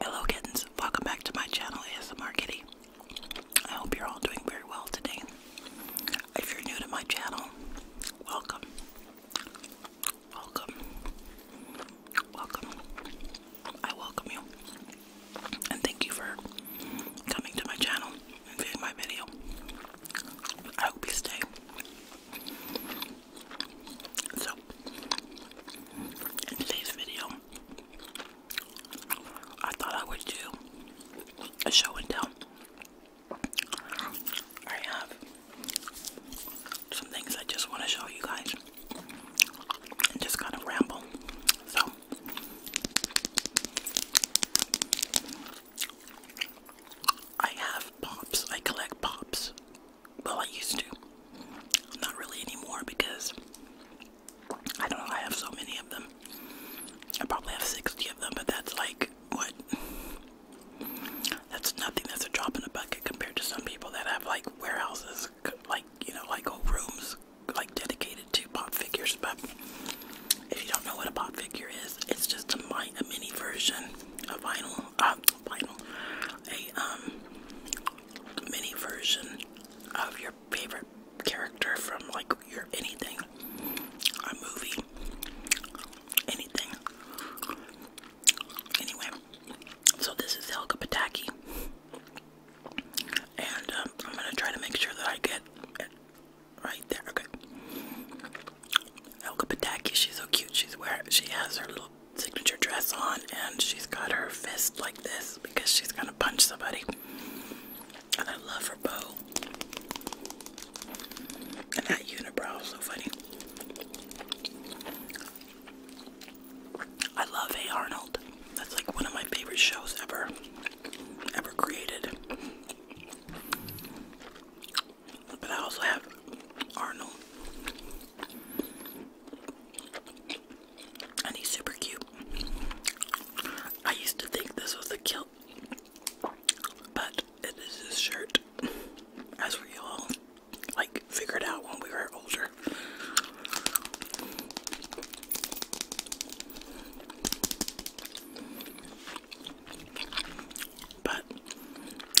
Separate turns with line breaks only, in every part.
Hello kittens, welcome back to my channel ASMR Kitty. I hope you're all doing very well today. If you're new to my channel, welcome. Welcome. Welcome. I welcome you. And thank you for coming to my channel and viewing my video. I hope you stay. So, in today's video, I thought I would do a show and tell. I have some things I just want to show you guys and just kind of ramble. So, I have pops, I collect pops. Well, I used to. Not really anymore because I don't know, I have so many of them. I probably have 60 of them, but that's like, what? That's nothing. That's a drop in the bucket compared to some people that have like warehouses, like, you know, like whole rooms, like dedicated to pop figures. But if you don't know what a pop figure is, it's just a, mini version, a vinyl, uh, like a um, mini version of your favorite character from like your anything, a movie, anything. Anyway, so this is Elka Pataki, and um, I'm gonna try to make sure that I get right there. Okay, Helga Pataki, she's so cute. She's where she has her little signature dress on and she's got her fist like this because she's gonna punch somebody. And I love her bow. And that unibrow is so funny. I love Hey Arnold. That's like one of my favorite shows ever, ever created. But I also have Arnold and he's super cute. I used to think this was a kilt, but it is his shirt, as we all like figured out when we were older. But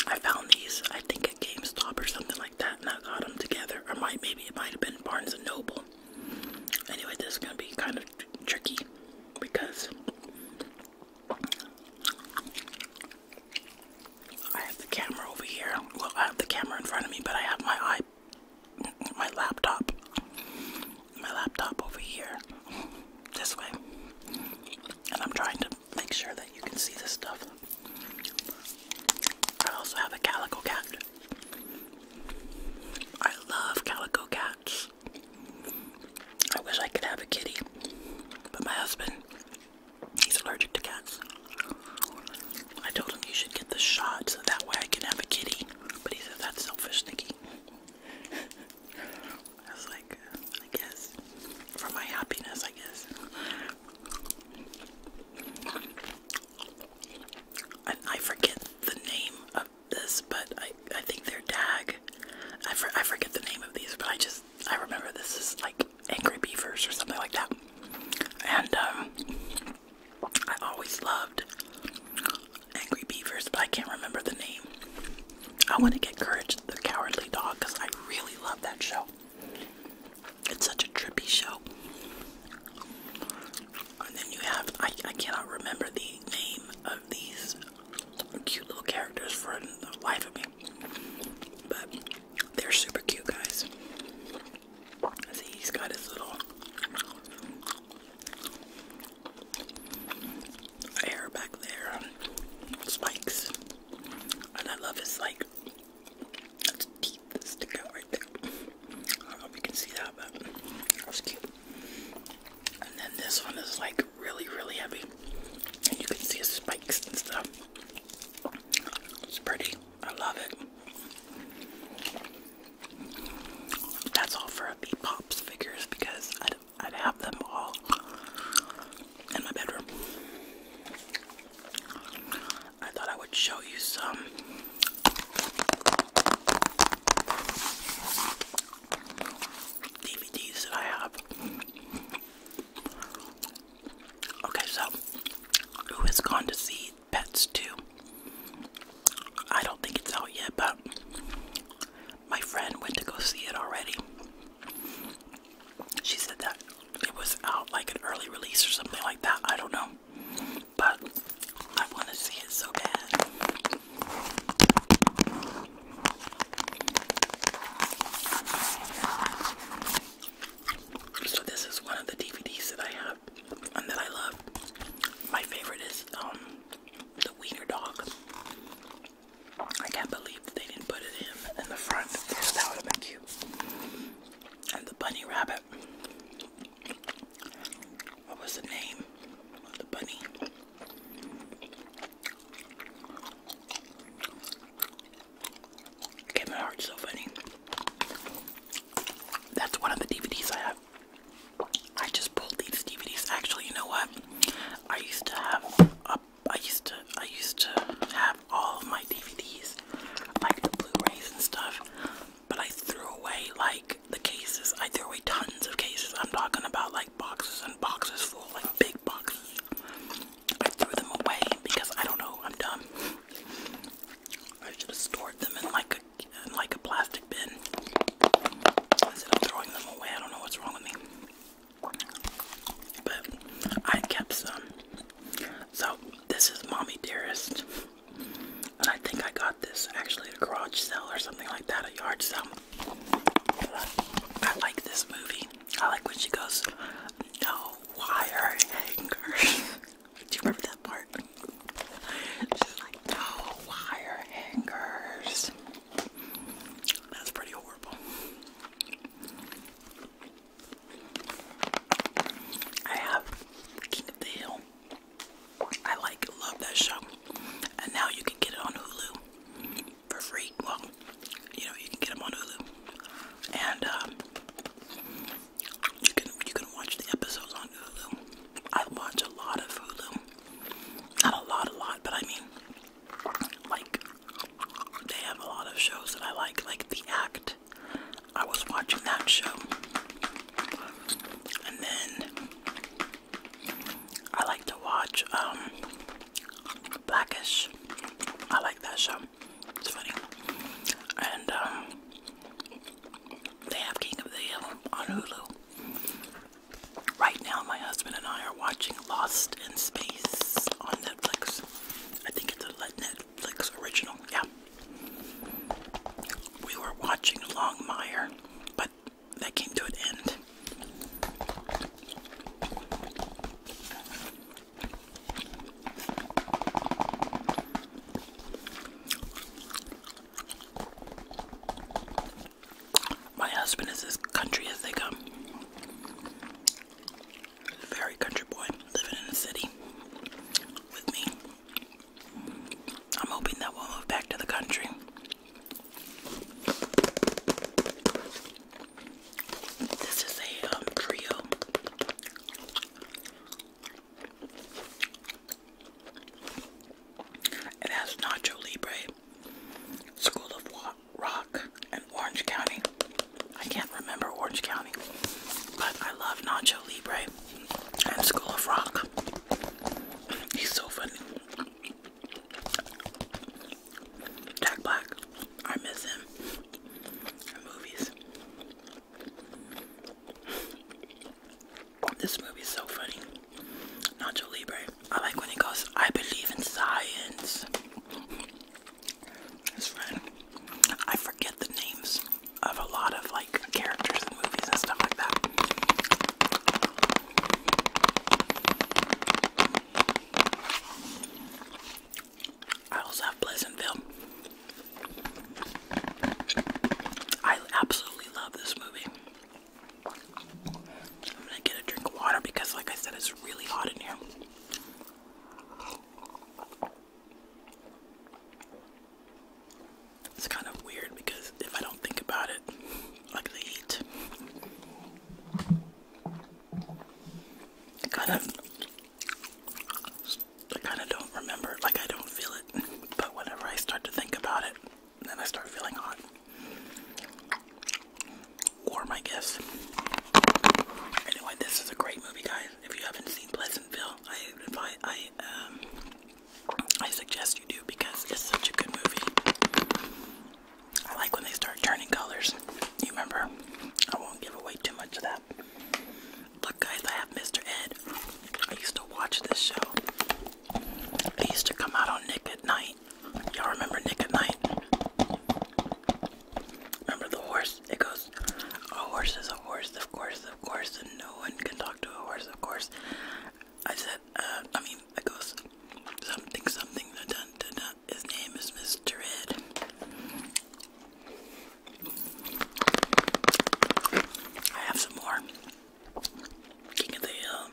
I found these, I think at GameStop or something that, and I got them together. Or might maybe it might have been Barnes and Noble. Anyway, this is gonna be kind of tricky because I have the camera over here. Well, I have the camera in front of me, but I have my eye, my laptop, my laptop over here, this way, and I'm trying to make sure that you can see this stuff. I also have a calico cat. I love calico cats. I wish I could have a kitty, but my husband, he's allergic to cats. I told him you should get the shot so that way I can have a kitty, but he said that's selfish, Nikki. I like, I guess. For my happiness, I guess. I forget the name of this, but I I think they're tag. I, I forget the name of these, but I just I remember this is like Angry Beavers or something like that. And um, I always loved Angry Beavers, but I can't remember the name. I want to get Courage the Cowardly Dog because I really love that show. It's such a trippy show. And then you have, I, cannot remember the name of these cute little characters for the life of me. But they're super cute, guys. See, he's got his little hair back there, spikes. And I love his, like, that's teeth that out right there. I don't know if you can see that, but that was cute. And then this one is like really, really heavy. And you can see his spikes and stuff. It's pretty. I love it. That's all for the Pops figures because I'd have them all in my bedroom. I thought I would show you some DVDs that I have. Okay, so who has gone to see Pets 2? I don't think it's out yet, but my friend went to go see it already. She said that it was out like an early release or something like that. I don't know. But I want to see it so bad. So this is one of the DVDs that I have and that I love. My favorite is um the wiener dog. I can't believe they didn't put it in in the front. That would have been cute. And the bunny rabbit. What was the name of the bunny? Okay, my heart's so funny. That's one of the DVDs I have. I just pulled these DVDs. Actually, you know what? I used to have a I used to I used to have all my DVDs, like the Blu-rays and stuff, but I threw away like the cases. I threw away tons of cases. I'm talking about like boxes and boxes full, like big boxes. I threw them away because I don't know. I'm dumb. I should have stored them in like a in like a plastic bin. Instead of throwing them away, I don't know what's wrong with me. But I kept some. So this is Mommy Dearest. And I think I got this actually at a garage sale or something like that, a yard sale. I like this movie. I like when she goes, no wire hangers. Do you remember that part? She's like, no wire hangers. That's pretty horrible. I have King of the Hill. I like love that show. And now you can get it on Hulu for free. Well, you know, you can get them on Hulu. And um, you can you can watch the episodes on Hulu. I watch a lot of Hulu. Not a lot, a lot, but I mean like they have a lot of shows that I like, like The Act. I was watching that show. And then I like to watch um, Blackish. I like that show. It's funny. And um, they have King of the Hill on Hulu. Right now my husband and I are watching Lost in Space on Netflix. I think it's a Netflix original. Yeah. We were watching Longmire, but that came to an end. My husband is as country as they come. Very country boy living in the city with me. I'm hoping that we'll move back to the country. This is a um, trio. It has nacho libre, School of Rock and Orange County. I can't remember Orange County, but I love Nacho Libre and School of Rock. He's so funny. Jack Black. I miss him. movies. This movie's so funny. Nacho Libre. I like when he goes, I believe in science. His friend. I forget the names of a lot of like characters in movies and stuff like that. I also have Pleasantville. I absolutely love this movie. I'm gonna get a drink of water because, like I said, it's really hot in here. It's kind of weird because if I don't think about it, like the heat, I kind of, I kind of don't remember. Like I don't feel it, but whenever I start to think about it, then I start feeling hot. Or my guess. Anyway, this is a great movie, guys. If you haven't seen Pleasantville, I um, I, suggest you do because it's such a good movie. I like when they start turning colors. You remember? I won't give away too much of that. Look, guys, I have Mr. Ed. I used to watch this show. I used to come out on Nick at Night. Y'all remember Nick at Night? Remember the horse? It goes, a horse is a horse, of course, of course, and no one can talk to a horse, of course. I said, uh, I mean, it goes, something, something, da, da, da, da. his name is Mr. Ed. I have some more. King of the Hill.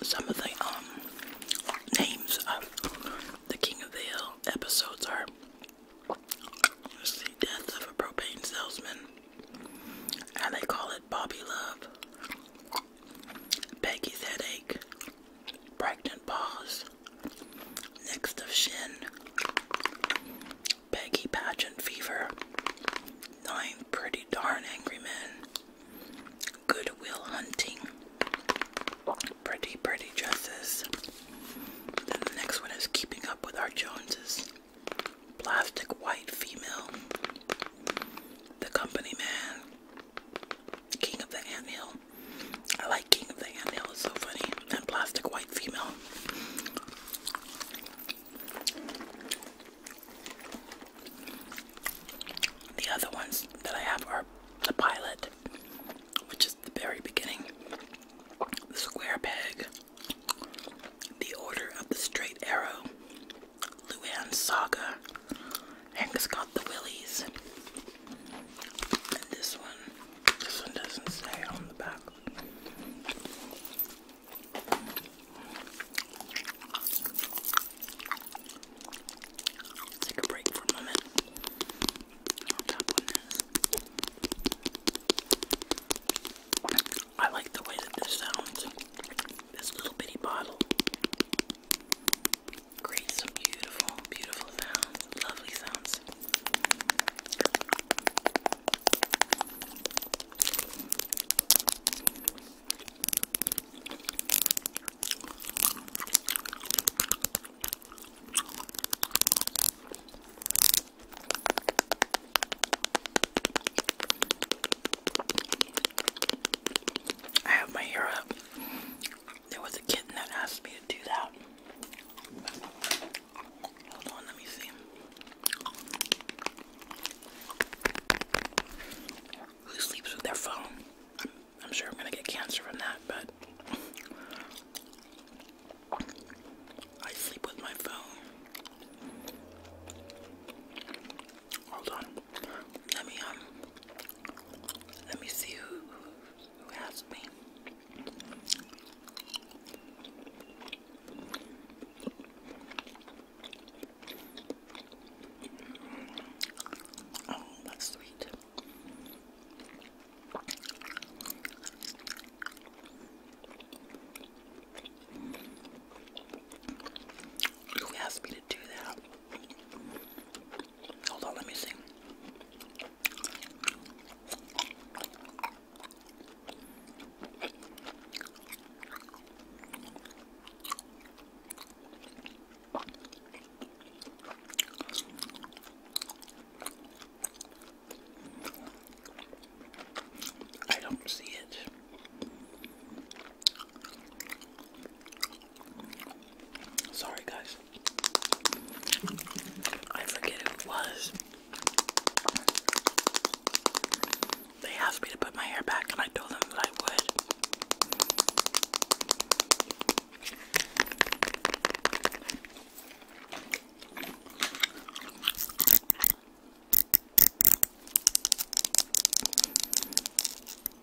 Some of the um, names of the King of the Hill episodes are the death of a propane salesman, and they call it Bobby Love, Peggy's headache, Pregnant Paws, Next of Shin, Peggy Pageant Fever, Nine Pretty Darn Angry Men, Goodwill Hunting, Pretty Pretty Dresses. Then the next one is Keeping Up with Our Joneses, Plastic White Female, The Company Man, King of the Anthill. I like King of the Anthill, it's so funny. And Plastic White Female. The other ones that I have are The Pilot, which is the very beginning, The Square Peg, The Order of the Straight Arrow, Luann's Saga, Hank has Got the Willies, this one, this one doesn't say on the back. Let's take a break for a moment. I like the way that this sounds. This little bitty bottle. Creates some beautiful, beautiful sounds, lovely sounds. I have my ear up there was a kitten that asked me to do that. Hold on, let me see. Who sleeps with their phone? I'm, sure I'm gonna get cancer from that, but I sleep with my phone. Hold on. Let me um. Let me see who who asked me. Oh, that's sweet. Who asked me to do that? Hold on, let me see. I don't see it. Sorry, guys. I forget who it was. They asked me to put my hair back, and I told them I would.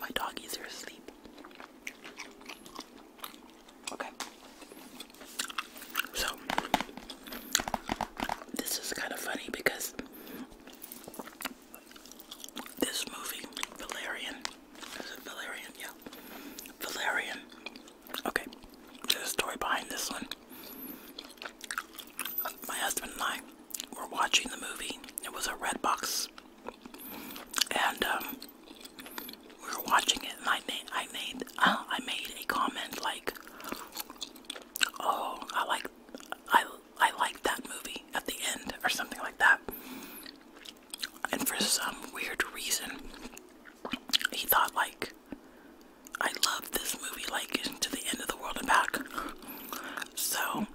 My doggies are asleep. Okay. So, this is kind of funny because this movie, Valerian, valerian? Yeah. Valerian. Okay. There's a story behind this one. My husband and I were watching the movie. It was a red box. And um, we were watching it and I made I made uh, I made a comment like Oh, I like I I like that movie at the end or something like that. And for some weird reason, he thought, like, I love this movie, like, to the end of the world and back. So,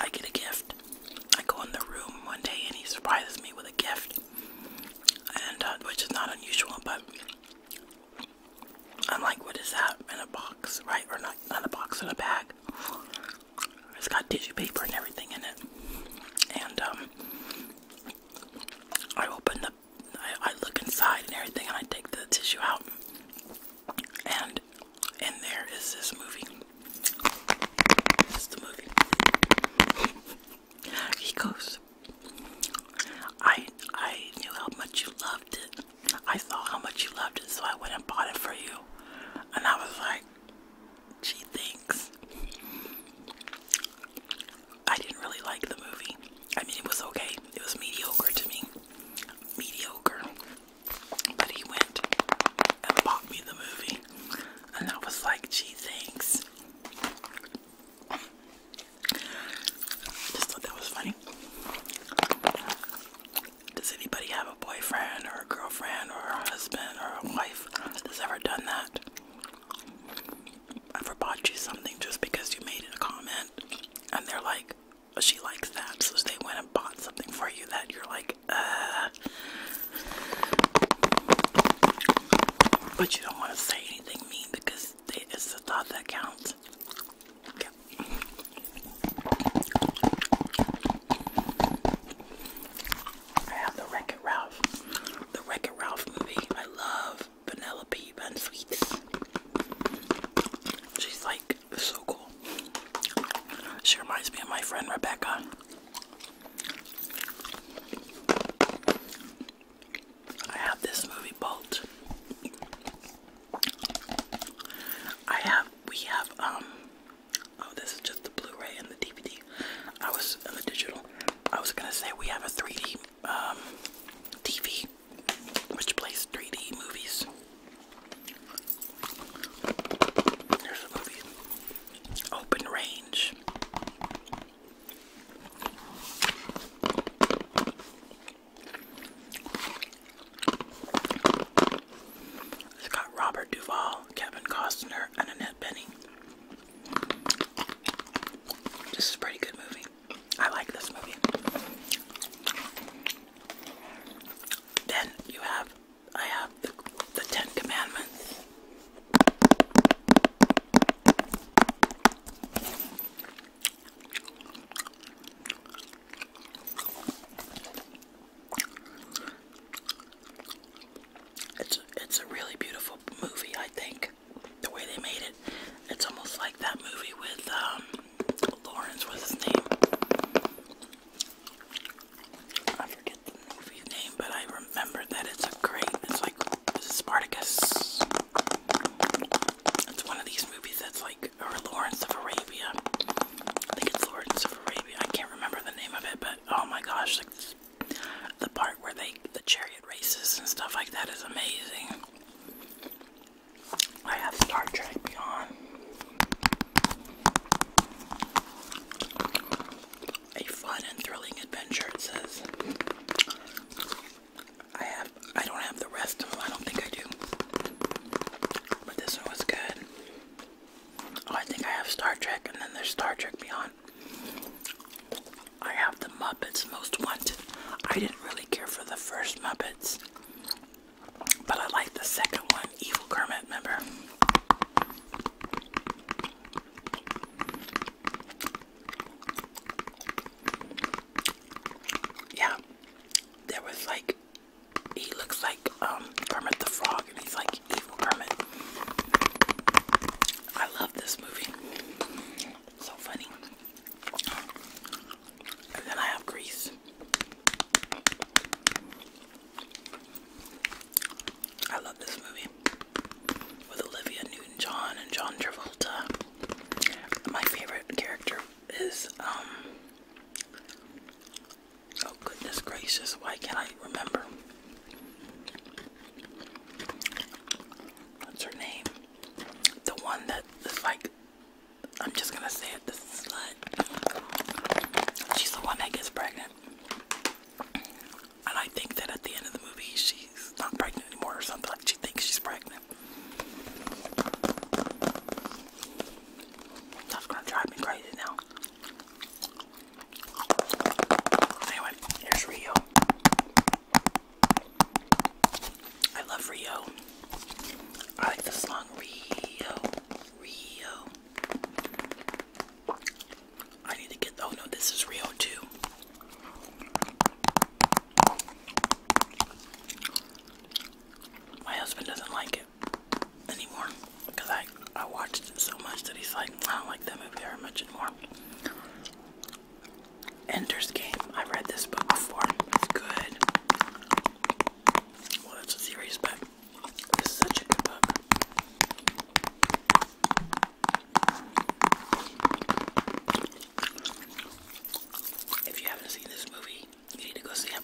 I get a gift. I go in the room one day and he surprises me with a gift, and uh, which is not unusual, but I'm like, what is that? In a box, right? Or not, in a box, in a bag. It's got tissue paper and everything in it. And um, I open the, I, look inside and everything, and I take the tissue out. And in there is this movie. movie. he goes. I I knew how much you loved it. I saw how much you loved it, so I went and bought it for you. And I was like, she thinks. I didn't really like the movie. I mean, it was okay. It was mediocre to me. Mediocre. But he went and bought me the movie. And I was like, "She thinks." Just thought that was funny. Does anybody have a boyfriend or a girlfriend or a husband or a wife that's ever done that? Ever bought you something just because you made a comment and they're like, oh, she likes that, so they went and bought something for you that you're like, uh. But you don't want to say anything mean because it's the thought that counts. Yeah. I have the Wreck-It Ralph. The Wreck-It Ralph movie. I love Penelope Bun Sweets. She's like so cool. She reminds me of my friend Rebecca. I have this movie Bolt. I have we have um Oh, this is just the Blu-ray and the DVD. I was in the digital. I was gonna say we have a 3D um, TV, which plays 3D movies. There's a movie, Open Range. It's got Robert Duvall, Kevin Costner, and Annette Benning. This is a pretty good movie. I like this movie. Then you have, I have the Ten Commandments. It's it's a really beautiful movie, I think. The way they made it, it's almost like that movie with um, Lawrence was his name. I forget the movie name, but I remember that it's a great. It's like Spartacus. It's one of these movies that's like or Lawrence of Arabia. I think it's Lawrence of Arabia. I can't remember the name of it, but oh my gosh, like the part where they the chariot races and stuff like that is amazing. I have Star Trek Beyond. A fun and thrilling adventure, it says. I have I don't have the rest of them, I don't think I do. But this one was good. Oh, I think I have Star Trek, and then there's Star Trek Beyond. I have the Muppets Most Wanted. I didn't really care for the first Muppets, but I like the second one, Evil Kermit, remember? Yeah, there was like he looks like um Kermit the Frog, and he's like evil Kermit. I love this movie. So funny. And then I have Grease. I love this movie with Olivia Newton-John and John Travolta. My favorite character is um, Oh, goodness gracious, why can't I remember? What's her name? The one that is like, I'm just gonna say it, the slut. She's the one that gets pregnant. And I think that at the end of the movie, she's not pregnant anymore or something. Like, she thinks she's pregnant. That's gonna drive me crazy now. Anyway, here's Rio. I love Rio. I like the song Rio. Rio. I need to get. Oh no, this is Rio too. My husband doesn't like it anymore because I I watched it so much that he's like I don't like that movie very much anymore. Ender's Game. I read this book before. It's good. Well, it's a series, but it's such a good book. If you haven't seen this movie, you need to go see it,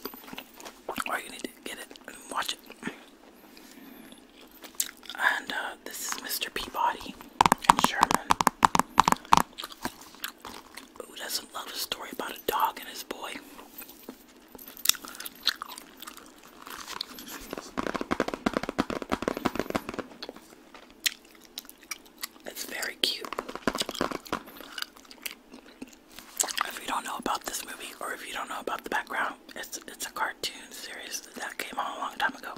or you need to get it and watch it. And uh, this is Mr. Peabody and Sherman, who doesn't love a story about a dog and his boy. It's very cute if you don't know about this movie or if you don't know about the background, it's it's a cartoon series that came out a long time ago.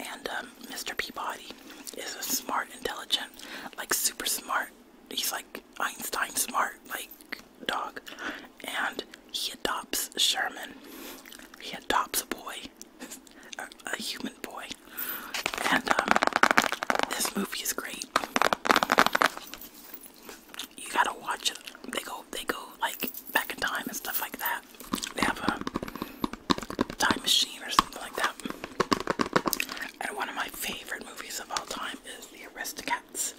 And Mr. Um, Peabody is a smart, intelligent, like super smart. He's like Einstein smart, like dog. And he adopts Sherman. He adopts a boy, a, human boy. And um, this movie is great. You gotta watch it. They go, they go like back in time and stuff like that. They have a time machine or something like that. And one of my favorite movies of all time is The Aristocats.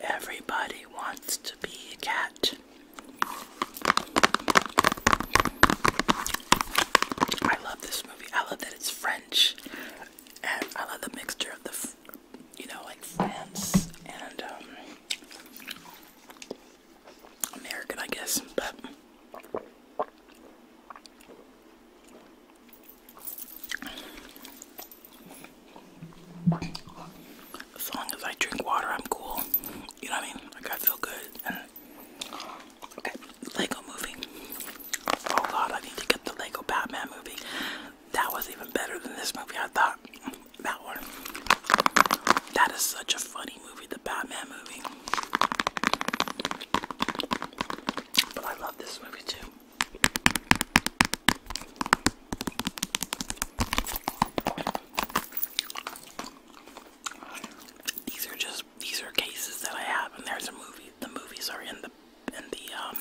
Everybody wants to be a cat. I love this I love that it's French, and I love the mixture of the, you know, like France and um, American, I guess. But as long as I drink water, I'm cool. You know what I mean? Like I feel good, and Okay, Lego movie. Oh god, I need to get the Lego Batman movie. That was even better than this movie, I thought. That one. That is such a funny movie, the Batman movie. But I love this movie too. These are just these are cases that I have, and there's a movie. The movies are in the in the um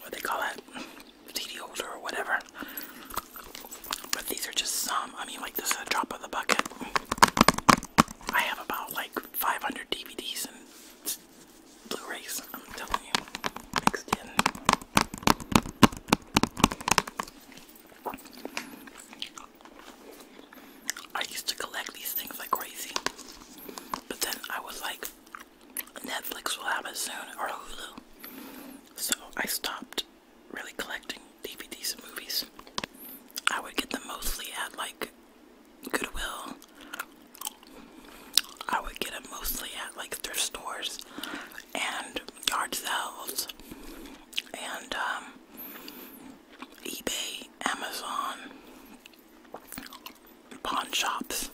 what they call it CD holder or whatever. But these are just some. I mean, like this is a drop of the bucket. I have about like 500 DVDs and Blu-rays. I'm telling you, mixed in. I used to collect these things like crazy, but then I was like, Netflix will have it soon or Hulu, so I stopped really collecting DVDs and movies. I would get them mostly at like Goodwill. I would get them mostly at like thrift stores and yard sales and um, eBay, Amazon, pawn shops.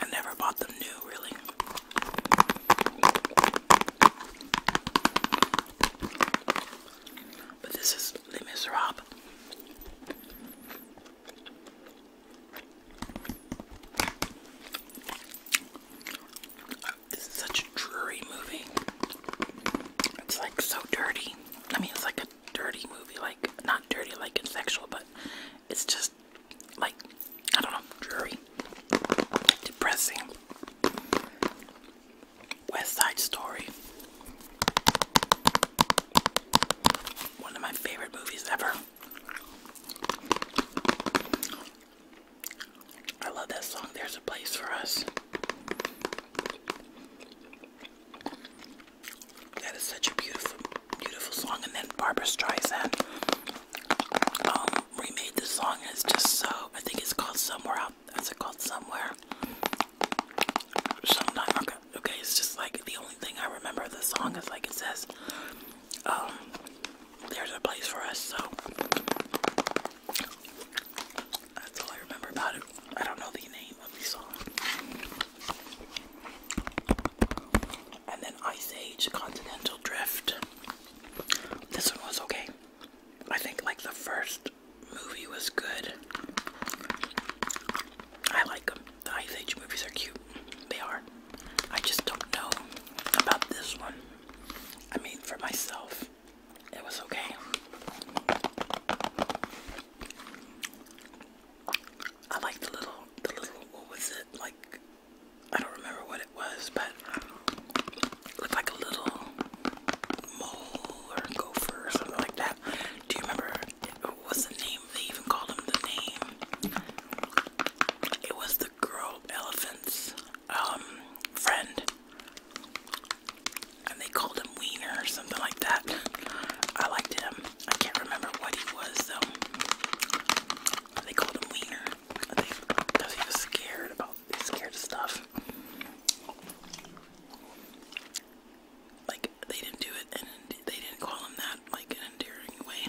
I never bought them new, really. But this is Les Miserables. This is such a dreary movie. It's like so dirty. I mean, it's like a dirty movie. Like, not dirty like it's sexual, but it's just like, I don't know, dreary. Depressing. West Side Story. One of my favorite movies ever. I love that song, There's a Place for Us. That is such a beautiful, beautiful song. And then Barbara Streisand um, remade the song. it's just so, I think it's called Somewhere Out. Is it called Somewhere? Okay, okay, it's just like the only thing I remember the song is like it says, um, There's a Place for Us. So that's all I remember about it. I don't know the name of the song. And then Ice Age Continental Drift. This one was okay. I think like the first movie was good. I like them. The Ice Age movies are cute. They are. I just don't know about this one. I mean, for myself, it was okay. I like the little, the little, what was it? Like, I don't remember what it was, but looked like a little mole or gopher or something like that. Do you remember? What was the name? They even called him the name. It was the girl elephants um, friend, and they called him Wiener or something like that. I liked him. I can't remember what he was though. They called him Wiener. I think because he was scared about he's scared of stuff. Like they didn't do it, and they didn't call him that like an endearing way.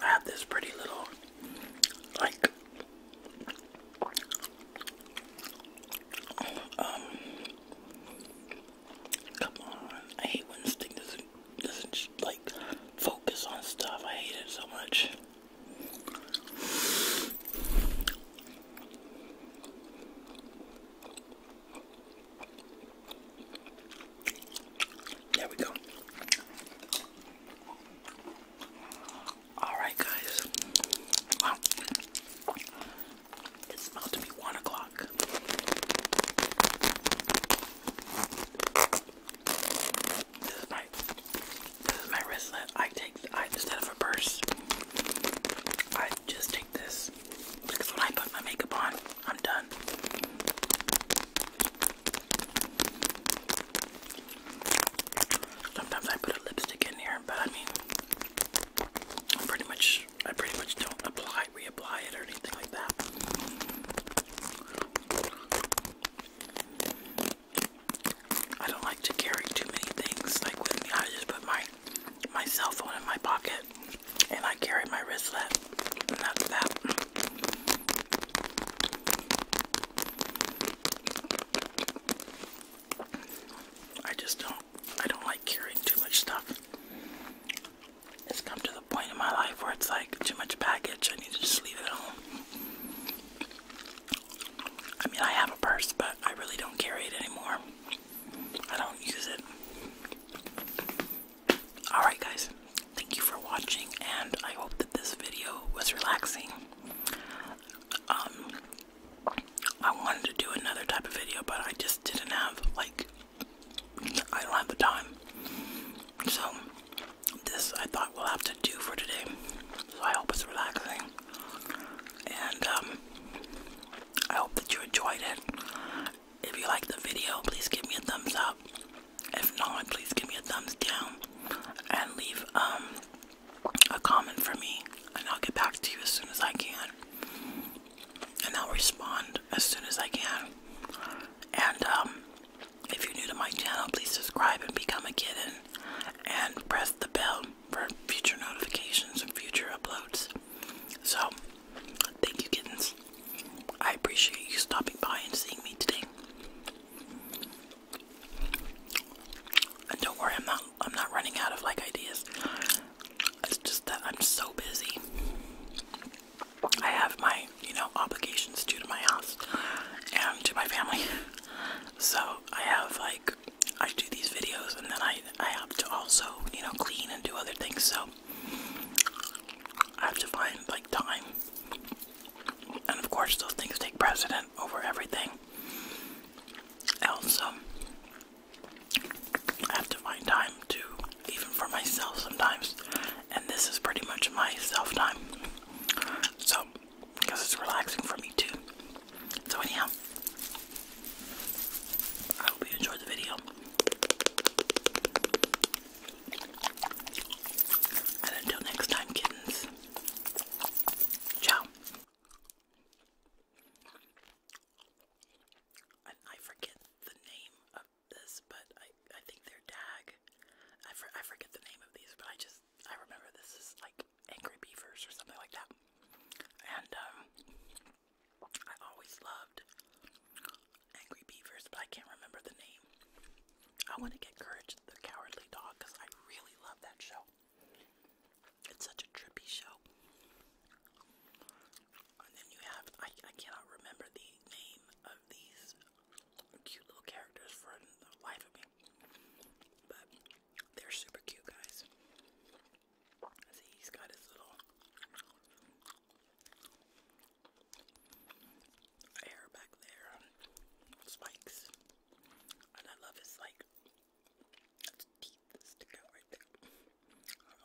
I have this pretty little, like, um, come on, I hate when this thing doesn't, doesn't, like, focus on stuff, I hate it so much. There we go. Alright, guys. Wow. It's about to be one o'clock. This is my this is my wristlet. I take I instead of a purse, I just take this because when I put my makeup on, I'm done. Sometimes I put a lipstick in here, but I mean, pretty much, I pretty much don't apply, reapply it or anything like that. I don't like to carry too many things like with I just put my my cell phone in my pocket and I carry my wristlet that's that. I just don't I don't like carrying too much stuff. It's come to the point in my life where it's like too much baggage. I need to just leave it at home. I mean, I have a purse, but I really don't carry it anymore. I don't use it. Alright, guys, thank you for watching, and I hope that this video was relaxing. Um, I wanted to do another type of video, but I just didn't have, like, I don't have the time. So, this I thought we'll have to do for today. So, I hope it's relaxing. And, um, I hope that you enjoyed it. If you like the video, please give me a thumbs up. If not, please give me a thumbs down and leave um a comment for me and I'll get back to you as soon as I can. And I'll respond as soon as I can. And um, if you're new to my channel, please subscribe and become a kitten and press the bell for future notifications and future uploads. So, thank you, kittens. I appreciate you stopping by and seeing me today. And don't worry, I'm not I'm not running out of like ideas. It's just that I'm so busy. I have my, you know, obligations due to my house and to my family. So I have like I do these videos and then I I have to also, you know, clean and do other things, so I have to find like time. And of course those things take precedent over everything else. Um, I have to find time to even for myself sometimes. And this is pretty much my self time. So because it's relaxing for me too. So anyhow, I hope you enjoyed the video. And until next time, kittens. Ciao. I forget the name of this, but I I think they're tag. I for, I forget the name of these, but I just I remember this is like angry beavers or something like that. And um I always loved Angry Beavers, but I can't remember the name. I want to get Courage the Cowardly Dog because I really love that show. It's such a trippy show. And then you have, I, I cannot remember the name of these cute little characters for the life of me. But they're super cute, guys. See, he's got his little hair back there, spikes, and I love his like teeth that out right there. I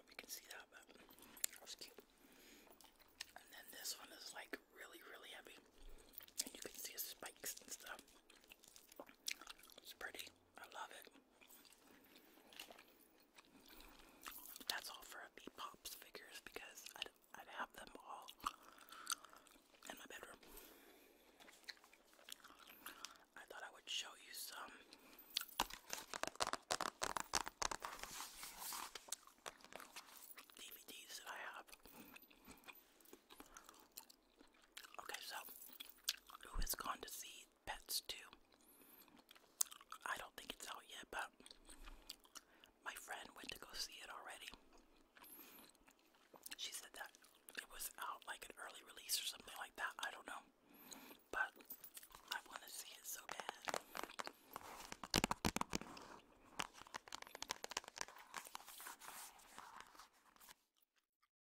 do you can see that, but that's cute. And then this one is like really, really heavy, and you can see his spikes and stuff. It's pretty. I love it. That's all for B Pops figures because I'd, I'd have them all in my bedroom. I thought I would show you some. DVDs that I have. Okay, so who has gone to see pets too. I don't think it's out yet, but my friend went to go see it already. She said that it was out like an early release or something like that. I don't know. But I want to see it so bad.